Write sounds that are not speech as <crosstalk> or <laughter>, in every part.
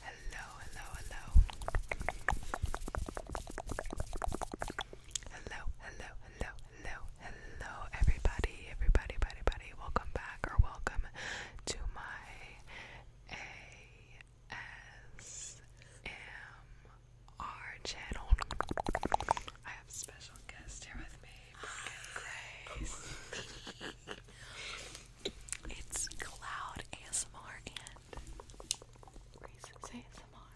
Hello, hello, hello. Hello, hello, hello, hello, everybody, everybody, Welcome back or welcome to my ASMR channel. I have special guest here with me, Grace. <laughs> It's Cloud ASMR and Grace's ASMR.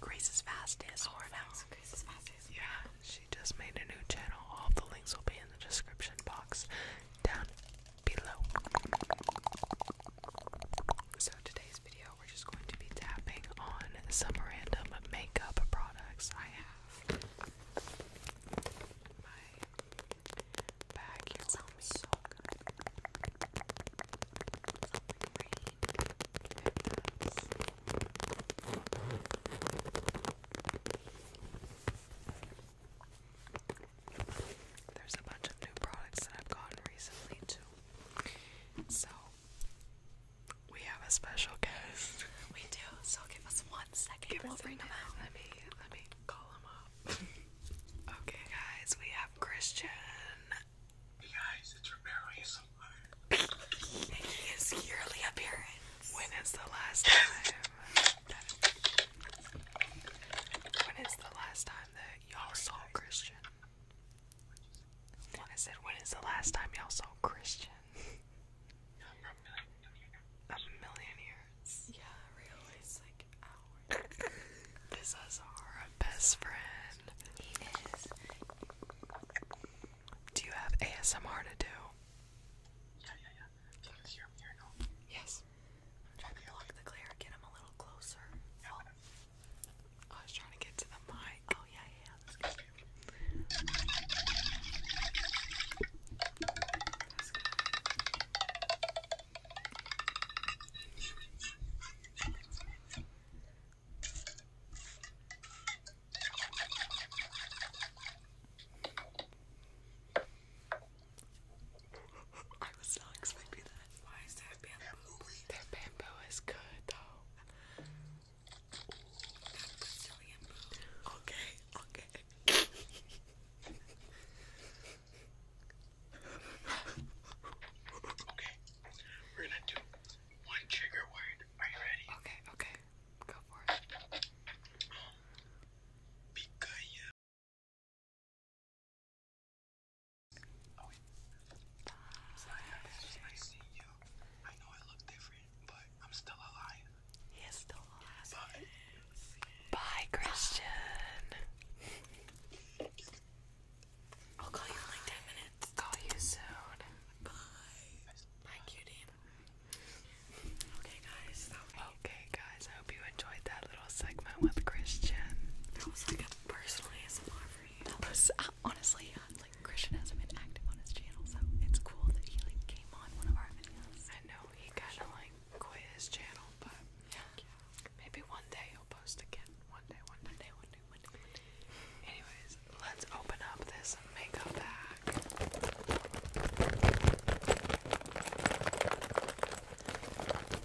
Grace's fastest. Oh, now. Grace's fastest. Yeah, she just made a new channel. All the links will be in the description box down below. So today's video, we're just going to be tapping on some random makeup products I have. Vacuum that sounds so good. There's a bunch of new products that I've gotten recently too. So we have a special guest. We do. So give us one Second Give we'll bring him Let me let me call him up. <laughs> okay, guys, we have Christian. guys, it's Romero ASMR. Making his yearly appearance. When is the last <laughs> time? when is the last time that y'all saw Christian? I said, when is the last time y'all saw Christian? a million, Yeah, really. like this is our best friend. He is. Do you have ASMR to do? Yeah, yeah, yeah. Yes. trying to block the glare, get him a little closer. Oh, I was trying to get to the mic. Oh, yeah, yeah. That's good. I was not expecting that. Why is that bamboo? That good Okay, okay. okay, we're gonna do one trigger word. Are you ready? Okay, okay. Go for it. Picanha. Oh, wait. Sorry, I see you. I know I look different but I'm still alive. He still alive. Bye. Christian. I'll call you in like 10 minutes. Call you soon. Bye. Bye, cutie. Okay, guys. Okay, guys. I hope you enjoyed that little segment with Christian. That was like a personal ASMR for uh, honestly, like Christian hasn't been active on his channel, so it's cool that he like came on one of our videos. I know he kind of like quit his channel, but yeah. yeah, maybe one day he'll post again. One day, one day, one day, one day, one day. One day. Anyways, let's open up this makeup bag.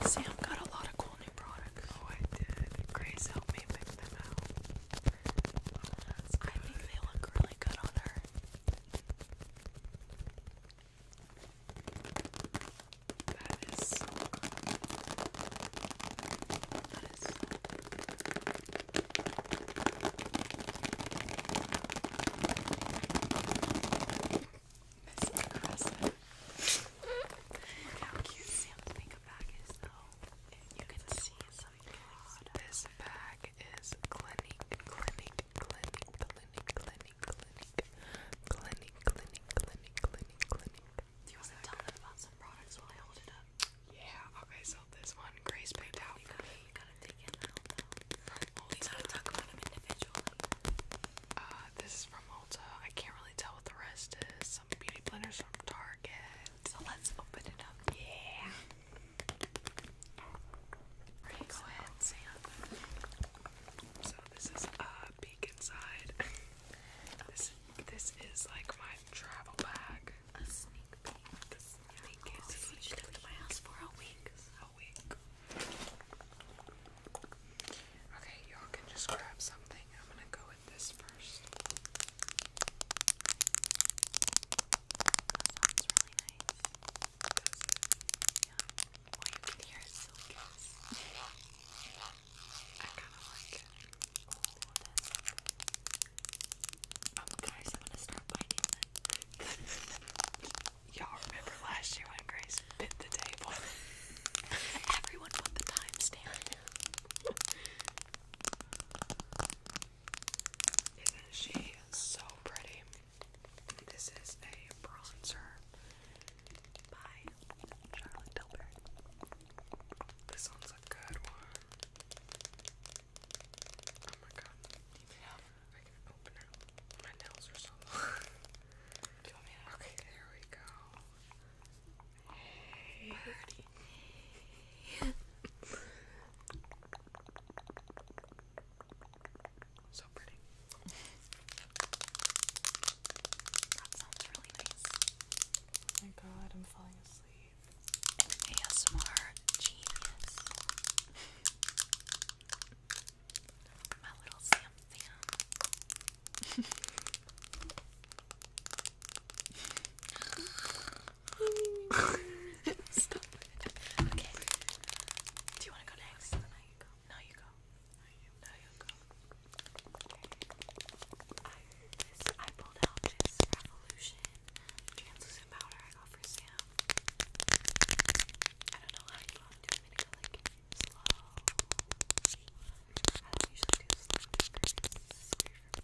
Sam got a lot of cool new products. Oh, I did. Grace helped me pick them out. I think they really good on her. That is so That is impressive. how cute Sam's makeup bag is, though. You can see this bag is clinic, clinic, clinic, clinic, clinic, clinic, clinic, clinic, clinic, clinic, clinic. Do you want to tell them about some products while I hold it up? Yeah, okay, so this one Grace picked out for me. You gotta take it out though. We gotta talk about them individually. Uh, this is from Ulta. I can't really tell what the rest is. Some beauty blenders from Target. So let's open it up. Yeah. go ahead, Sam. So this is a uh, peek inside. this this is like my travel bag. A sneak peek. This is what you lived in my house for a week. A week. Okay, y'all can just grab something. I'm gonna go this first. That sounds really nice. Does Yeah. Well, you can hear <laughs> I kind of like it. Oh, guys, I'm gonna start biting <laughs> Y'all remember last year when Grace bit the table? <laughs> Everyone put the timestamp. Isn't she so pretty? This is a bronzer by Charlotte Tilbury. This one's a good one. Oh my god. Yeah. I can open it. My nails are so <laughs> Do you want me to? Okay, there we go. Birdie. <laughs> so pretty. That sounds really nice. Oh my god, I'm falling asleep. ASMR genius. My little Sam Sam. <laughs> Stop Okay. Do you want to go next? No, you go. No, you go. I, pulled out this Revolution translucent powder I got for Sam. I don't know how you want to do it. like slow. I don't usually do slow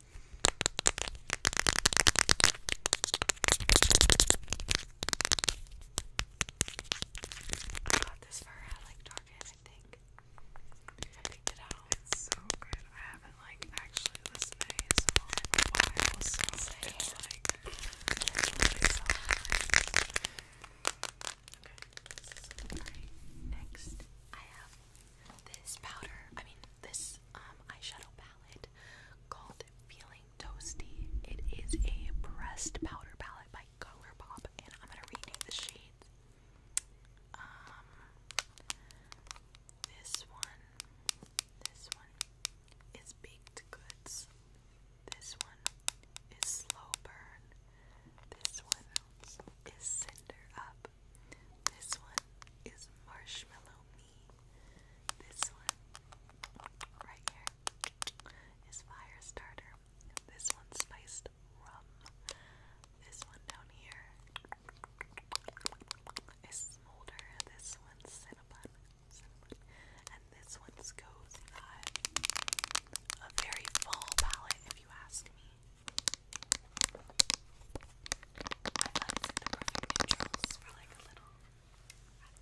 I got this for at like I think. It's so good. I haven't like actually listened to ASMR in a while, so it's like next I have this powder. I mean this um, eyeshadow palette called Feeling Toasty. It is a pressed powder palette by ColourPop, and I'm gonna rename the shades. Um, this one, this one is baked goods. This one is slow burn. This one is cinder up. This one is marshmallow this one right here is fire starter. This one's spiced rum. This one down here is smolder. This one's cinnamon. cinnamon. And this one's cozy vibe. A very full palette if you ask me. I like the perfect intros for like a little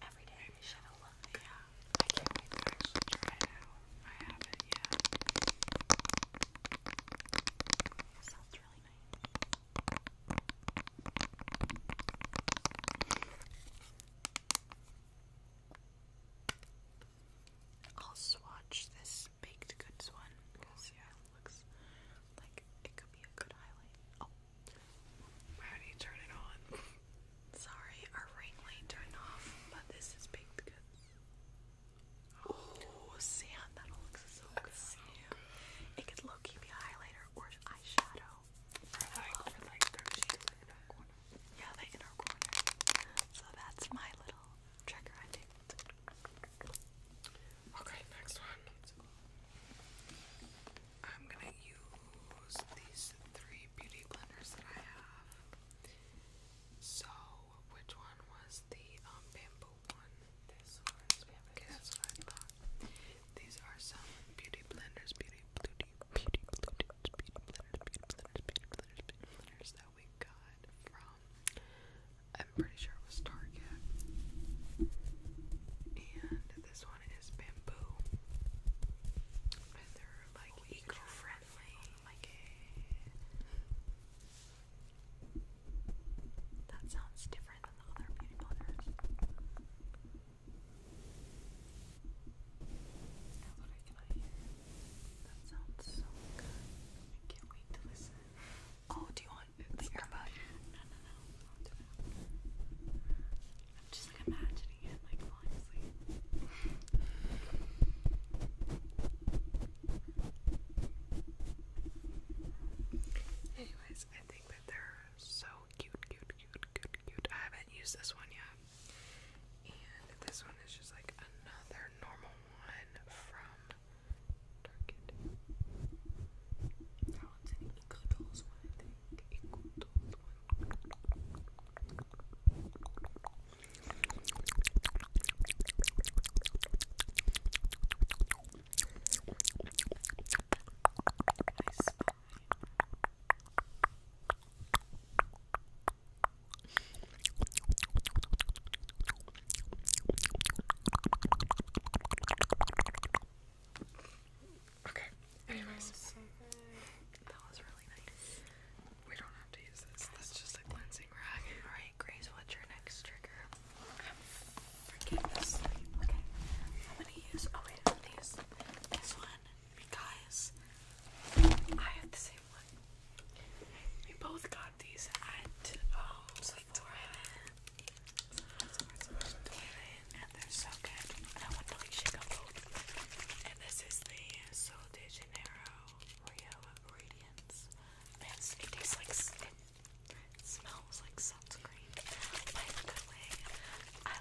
everyday shadow look. Yeah. I can't wait to actually try it out. I haven't yet. sounds really nice. I'll swatch this baked goods one yeah, looks like it could be a good highlight. Oh, do you turn it on? <laughs> Sorry, our ring light turned off, but this is baked goods. Oh, sand! That looks so That's It could low key be a highlighter or eyeshadow. Yeah, the inner corner. So that's my little trigger, I think. Okay, next one. I'm gonna use these three beauty blenders that I have. So, which one was the um, bamboo one? This one. Okay, that's what I thought. These are some beauty blenders, beauty, beauty, beauty blenders, beauty blenders, beauty blenders, beauty blenders, beauty blenders that we got from I'm pretty sure it was Target. And this one is bamboo. they're like oh, eco-friendly. Like a... That sounds different than the other beauty blenders. Now what I can I hear? That sounds so good. I can't wait to listen. Oh, do you want the earbud? No, no, no. i it. am just like imagining it, like falling Anyways, I think that they're so cute, cute, cute, cute, cute. I haven't used this one yet. And this one is just like another normal one from Darkened. That one's an Eco Dolls one, I think. Eco Dolls one. Nice spine. Okay. Anyways, that was really nice. We don't have to use this. That's just a cleansing rag. All right, Grace. What's your next trigger? I'm freaking asleep. Okay. I'm gonna use. Oh wait, these. This one because I have the same one. We both got these at um, and they're so good. I want to like shake up both. And this is the Sol de Janeiro Rio Radiance. it tastes like it smells like sunscreen. I like this I I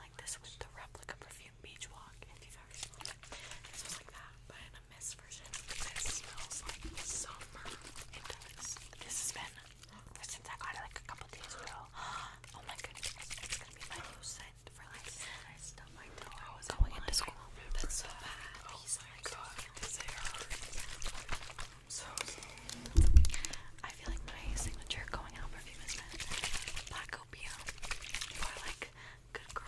like this much. the replica perfume beach walk. If you've ever smelled it, like that in version. This smells like summer. It does. This has been since I got it like a couple days ago. <gasps> Oh my goodness, it's gonna be my new scent for like. I still my toe. I was going into school. That's so bad. Oh my god, So I feel like my signature going out perfume has been Black Opium. like Good girl.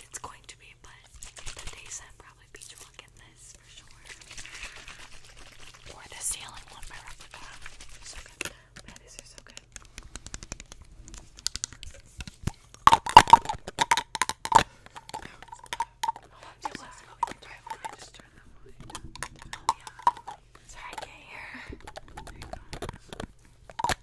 It's going to be, but the day probably Beach will get this for sure. Or the ceiling one by Replica. So good. these are so good. Oh, Sorry, I can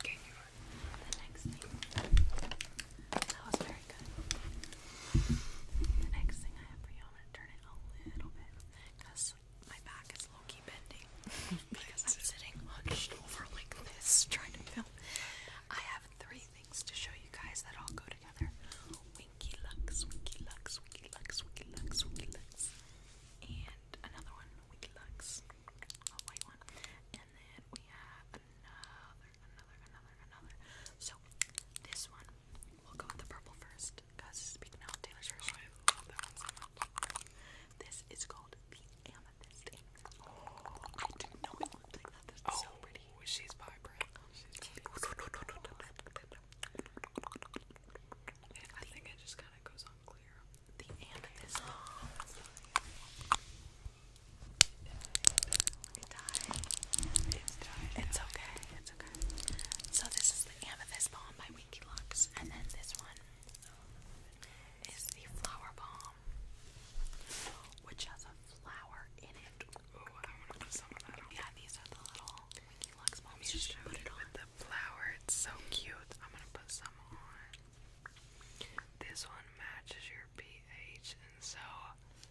Okay, the next thing. That was very good. The next thing I have for you, I'm going to turn it a little bit because my back is low key bending because I'm sitting hunched like this trying to film. I have three things to show you guys that all go together Winky Lux, Winky Lux, Winky Lux, Winky Lux, Winky Lux and another one, Wheat Lux, a white one, and then we have another, another, another, another. So this one, we'll go with the purple first, because speaking out Taylor's oh, This is called the Amethyst I didn't know it looked like that. so pretty. Oh, she's vibrant. <laughs> I think it just kind of goes on The amethyst. It It's okay. It's okay. So this is the amethyst balm by Winky Lux, and then this one is the flower balm, which has a flower in it. Yeah, these are the little with the flower, it's so cute. I'm gonna put some on. This one matches your pH, and so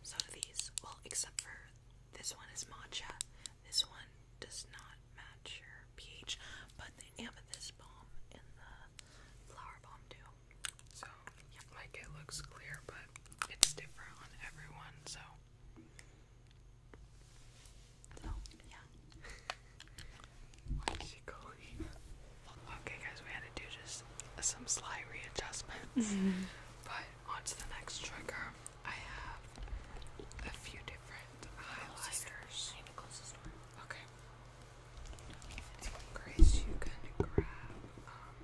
so do these. Well, except for this one is matcha. This one does not match your pH, but the amethyst balm and the flower balm do. So, like it looks clear, but it's different on everyone. So. Oh, <laughs> okay, guys, we had to do just some slight readjustments. <laughs> Mm-hmm. But on to the next trigger. I have a few different highlighters. Okay. Grace, you can grab um,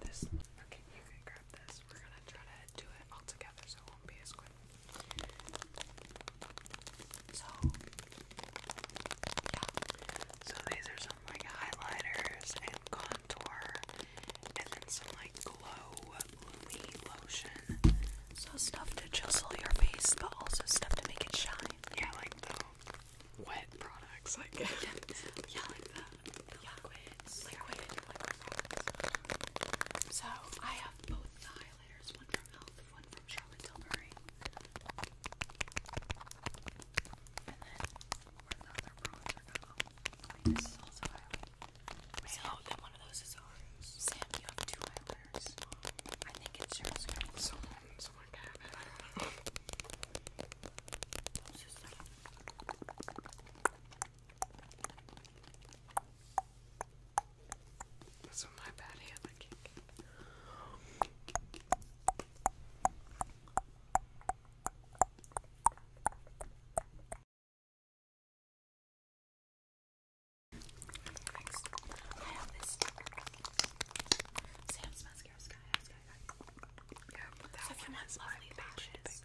this. Okay, you can grab this we're gonna try to do it all together so it won't be as quick. So, yeah. So these are some like highlighters and contour, and then some like glow loomy lotion. So stuff to just chisel your face, but also stuff to make it shine. Yeah, like the wet products, <laughs> like yeah, the yeah. liquid, liquid So I have both the highlighters, one from Elf, one from Charlotte Tilbury. And then where the this is also highlight. oh, then one of those is ours. Sam, you have two highlighters. I think it's yours. Someone, someone can <laughs> it. That's my bad hand I Next, I have this Sam's mascara sky, Yeah, that one if lovely lashes,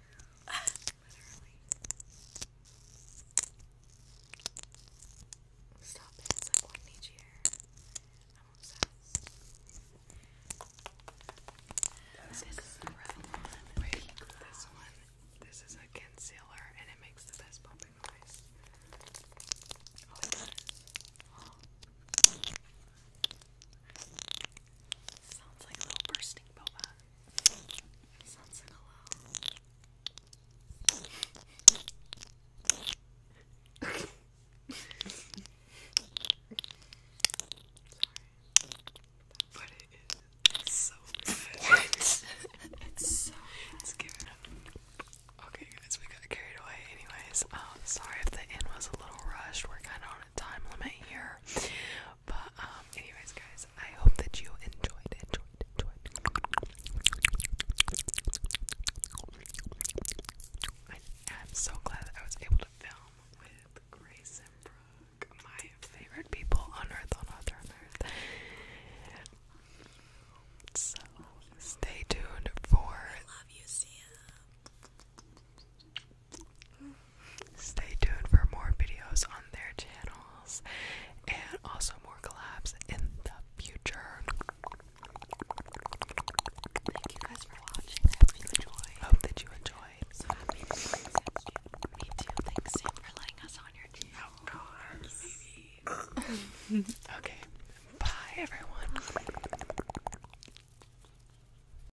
Stop it. It's like one each year. This is the red one. this one. This is a concealer and it makes the best popping noise. Oh, Sounds like a little bursting boba. Sunset hello. Sorry. But it is so good. it's so it's giving up. Okay guys, we got carried away anyways. Um sorry if the end was a little rushed. We're kinda on a time limit here. But um anyways guys, I hope that you enjoyed, enjoyed, I am so glad that I was able to film with Grace Brooke, my favorite people on earth, on earth, on earth. So stay tuned for Stay tuned for more videos on their channels and also more collabs in the future. Thank you guys for watching. hope you enjoyed. Hope that you enjoyed. So happy Thanks, Sam, for letting us on your channel. <laughs> okay. Bye, everyone.